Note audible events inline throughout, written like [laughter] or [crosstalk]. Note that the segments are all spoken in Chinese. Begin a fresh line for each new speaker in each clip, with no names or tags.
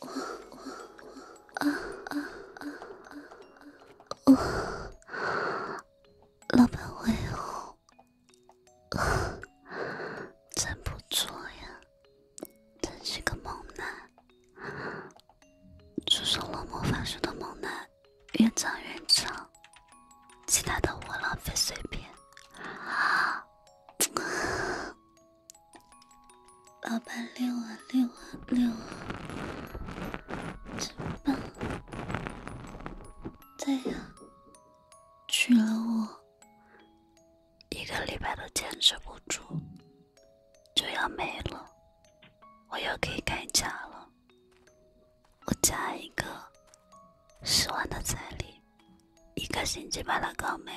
我我我啊啊啊啊！我，老板，我有。[laughs] 真不错呀，真是个猛男，出生了魔法术的猛男，越长越长，其他的我浪费碎片 [laughs] 啊，老板六啊六啊六啊，真棒！这呀。娶了我一个礼拜都坚持不住，就要没了。我又可以改嫁了。我加一个十万的彩礼，一个星期把它搞没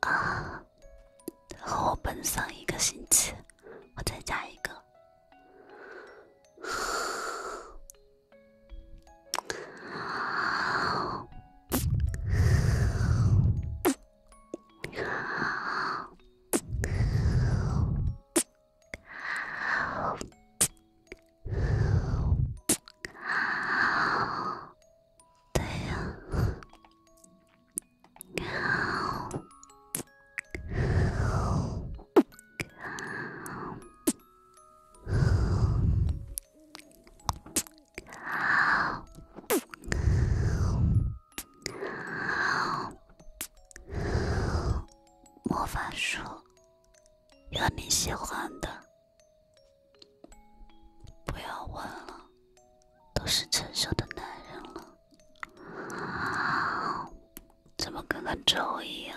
啊！和我奔丧一个星期，我再加一个。对呀。魔法书，有你喜欢的，不要问了，都是成熟的男人了。怎么跟个猪一样？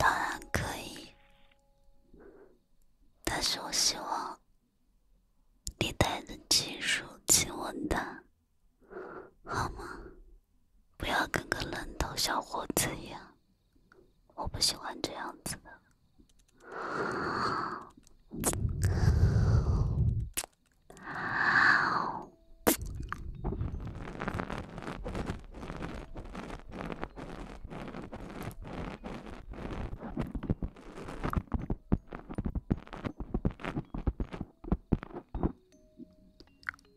当然可以。但是我希望你带着技术亲吻他，好吗？不要跟个愣头小伙子一样，我不喜欢这样子的。[laughs]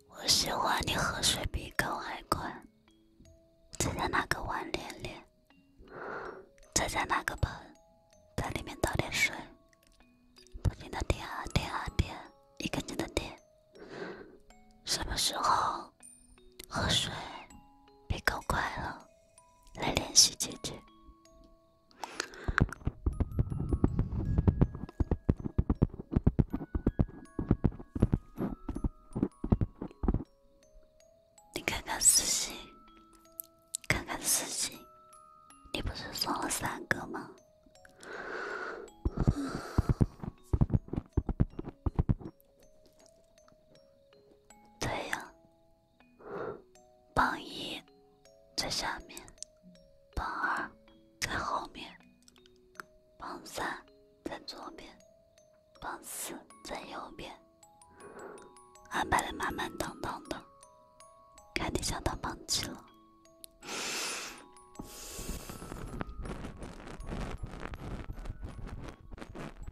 我喜欢你喝水比狗还快。再拿个碗练练，再拿个盆，往里面倒点水，不停的点啊点啊点，一根筋的点，什么时候？喝水，别搞怪了，来联系姐姐。你看看私信，看看私信，你不是送了三个吗？对呀，榜一在下面，榜二在后面，榜三在左边，榜四在右边，安排的满满当当的，肯定想到榜七了。[laughs]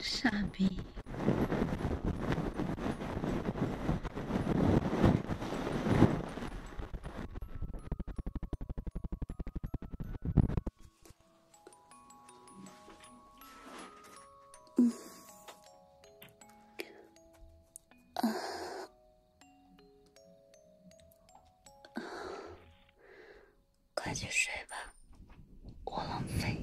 傻逼。嗯。[sighs] 快去睡吧，我浪费。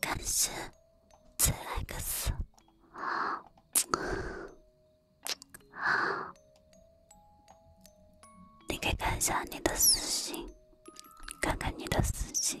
感谢 ZX，你可以看一下你的私信，看看你的私信。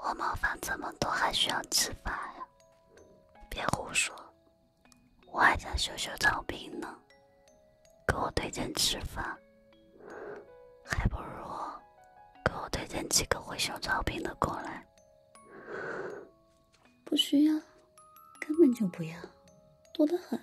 我毛发这么多，还需要吃饭呀？别胡说！我还想修修草坪呢，给我推荐吃饭，还不如给我推荐几个会修草坪的过来。不需要，根本就不要，多得很。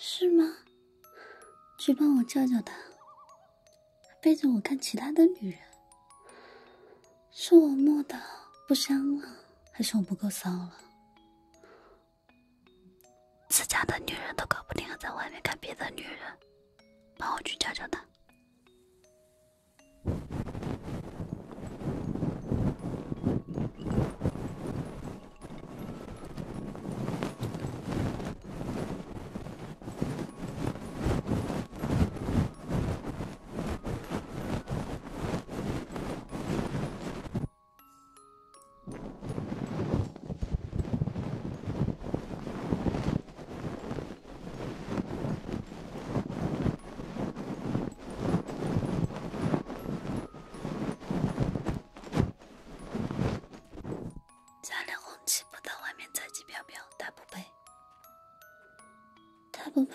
是吗？去帮我叫叫他，背着我看其他的女人，是我摸的不香了，还是我不够骚了？自家的女人都搞不定，在外面看别的女人，帮我去教教他。家里红旗不到外面彩旗飘飘。他不配，他不配。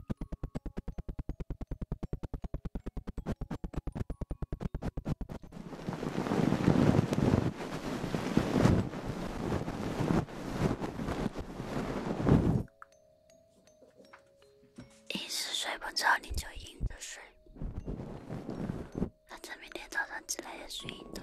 一时睡不着，你就硬着睡。反正明天早上起来也是硬的。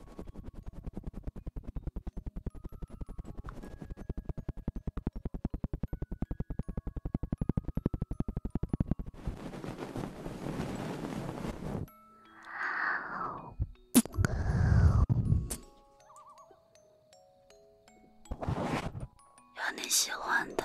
有你喜欢的。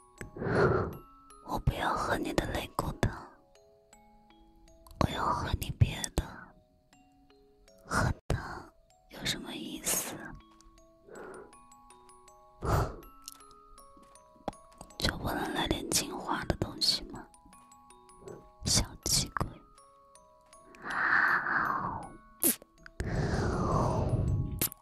我不要喝你的肋骨汤，我要喝你别的。喝汤有什么意思？[laughs] 就不能来点精华的东西吗？小气鬼！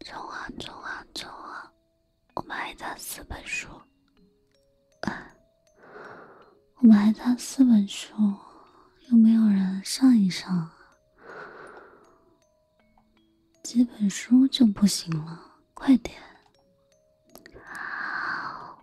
中啊中啊中啊！我们还差四本书，嗯，我们还差四本书，有没有人上一上？几本书就不行了，快点！好。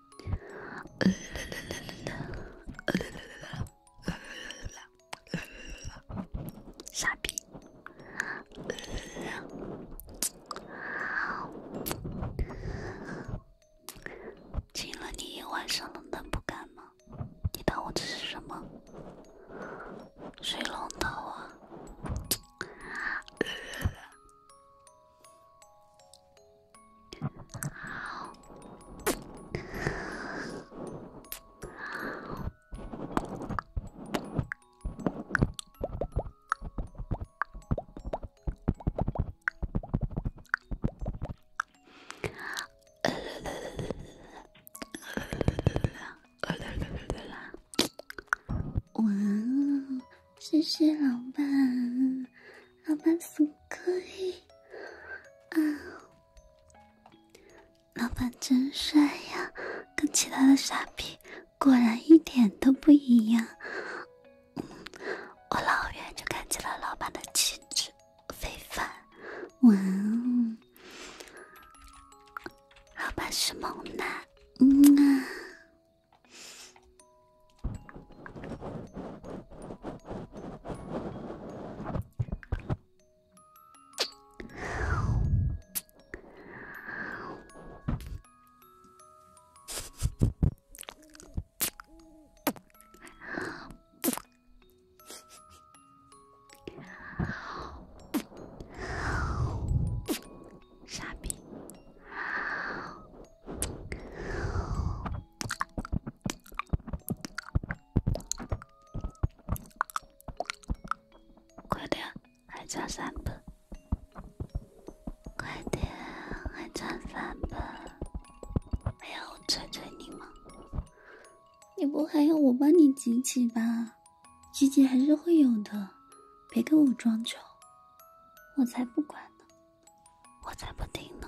呃啦啦啦啦啦，呃啦啦啦啦啦，呃啦啦啦啦，傻逼，
好，亲了你一晚上了，能不干吗？你当我这是什么？水龙头啊？好，好，谢谢老板。老板是可以，啊，老板真帅呀，跟其他的傻逼果然一点都不一样。我老远就看见了老板的气质非凡，哇！哦！老板是猛男，嗯啊。傻逼。快点，还差三本。快点，还差三本。哎呀，我催催你吗？你不还要我帮你集齐吧？集齐还是会有的，别跟我装穷，我才不管呢！我才不听呢！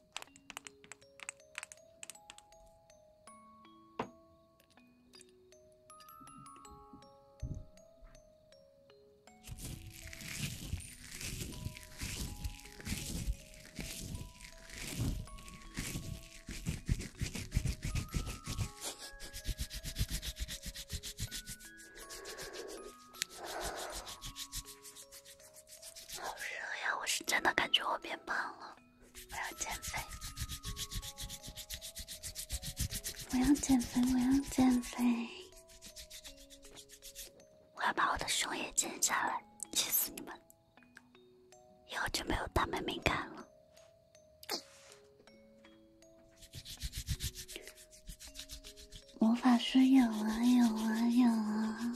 好热呀！我是真的感觉我变胖了。我要减肥，我要减肥，我要减肥，我要把我的胸也减下来，气死你们！以后就没有大妹妹看了。魔法书有啊有啊有啊！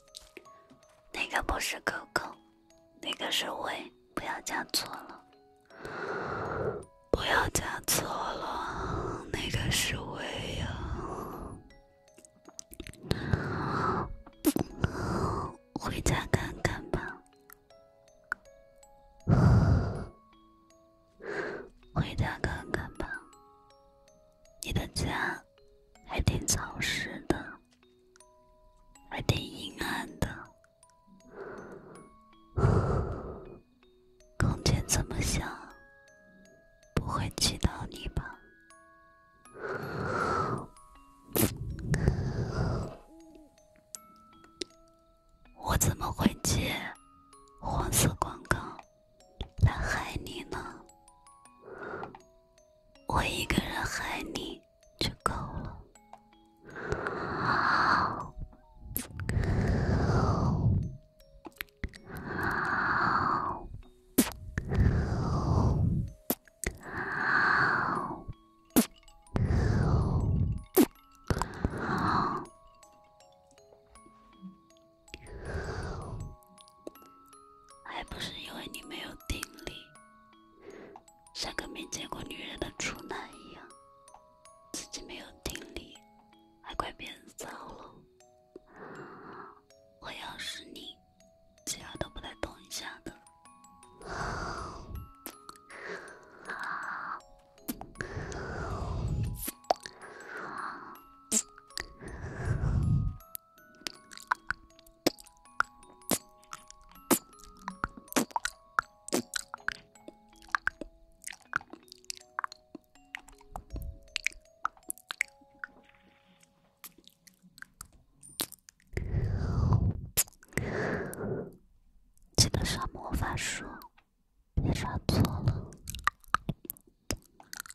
那个不是哥哥？那个是喂，不要加错了，不要加错了，那个是喂呀？回家看看吧，回家看看吧，你的家。还挺潮湿的，还挺阴暗的，空间这么小，不会挤到你吧？我怎么会接黄色广告来害你呢？我一个人害你就够了。好，好，好，好。还不是因为你没有定力，像个没见过女人的处男一样，自己没有定力，还怪别人糟了。我要是你，其他都不带动一下的。记得刷魔法书，别刷错了。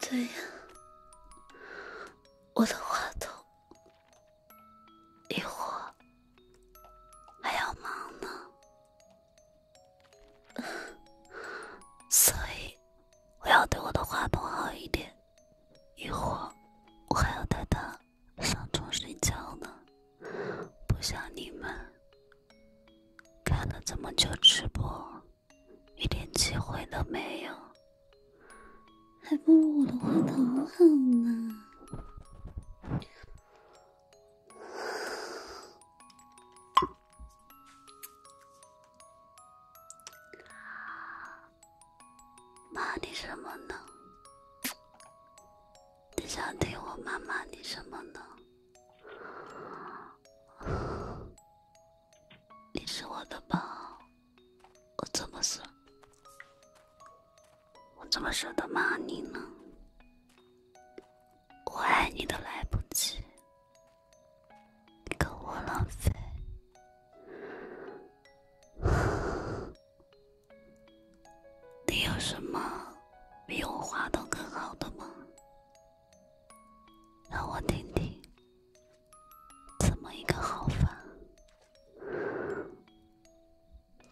对呀，我的话筒，一会
还要忙呢，所以我要对我的话筒好一点。一会我还要带他。上床睡觉呢，不像你们，看了这么久直播，一点机会都没有，还不如我的话筒好呢。骂你什么呢？你想听我骂骂你什么呢？[sighs] 你是我的宝，我怎么舍，我怎么舍得骂你呢？我爱你都来不及，你跟我浪费。[laughs] 你有什么比我画的更好的吗？让我听听，怎么一个好法？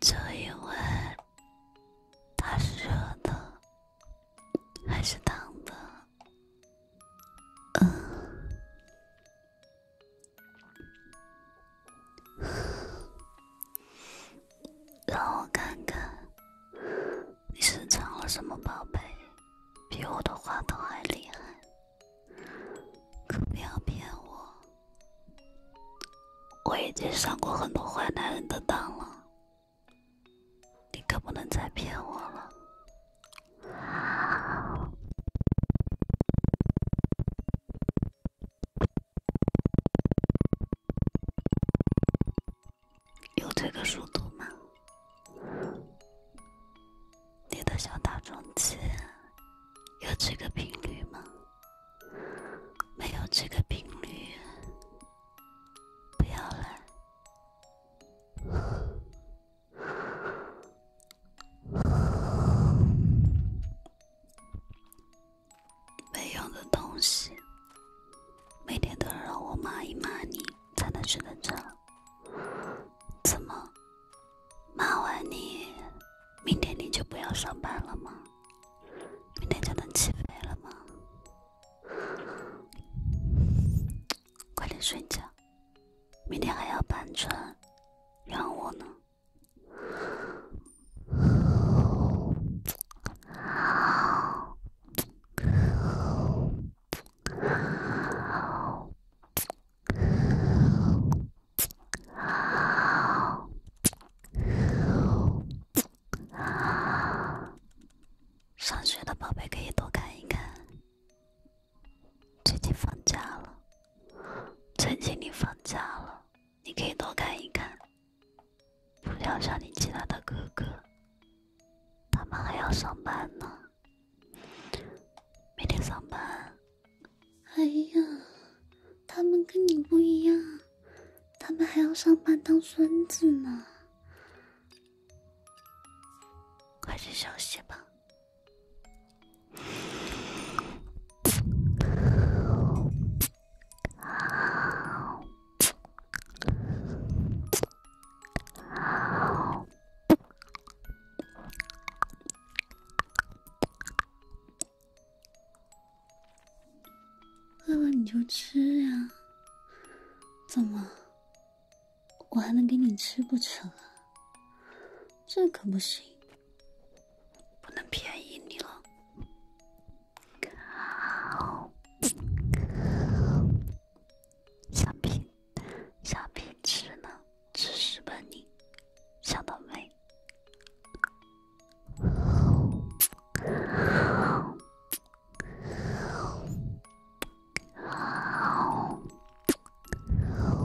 就因为它是热的，还是烫的？嗯。[sighs] 让我看看，你是藏了什么宝贝，比我的话筒还厉害？可不要骗我，我已经上过很多坏男人的当了，你可不能再骗我了。有这个速度吗？你的小打桩机有这个频率吗？没有这个频率，不要来。没用的东西，每天都要让我骂一骂你才能睡得着。怎么，骂完你，明天你就不要上班了吗？明天就能起飞了吗？快点睡觉，明天还要搬砖，养我呢。上学的宝贝可以多看一看，最近放假了，最近你放假了。你可以多看一看，不要像你其他的哥哥，他们还要上班呢，每天上班。哎呀，他们跟你不一样，他们还要上班当孙子呢，快去休息吧。饿了你就吃呀，怎么？我还能给你吃不成啊？这可不行，不能便宜你了。好，小皮，小皮吃呢，知识问你，想到没？好，好，好，好。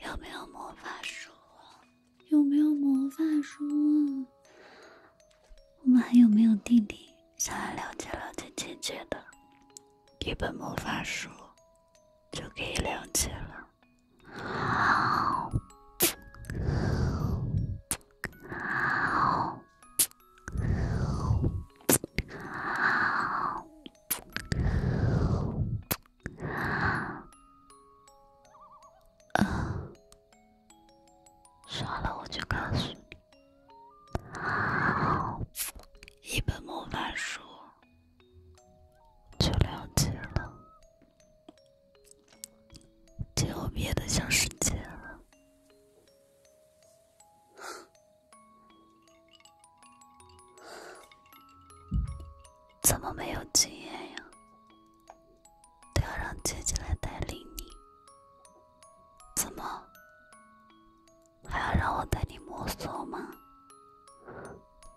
有没有魔法书？有没有魔法书？我们还有没有弟弟想来了解了解姐姐的？一本魔法书就可以了解了。好，好。嗯，说了我就告诉你。一本魔法书就了解了，今后别的小世界了。[laughs] 怎么没有经验呀？都要让姐姐来带领你，怎么还要让我带你摸索吗？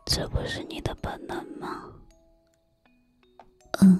这不是你的本能吗？
嗯。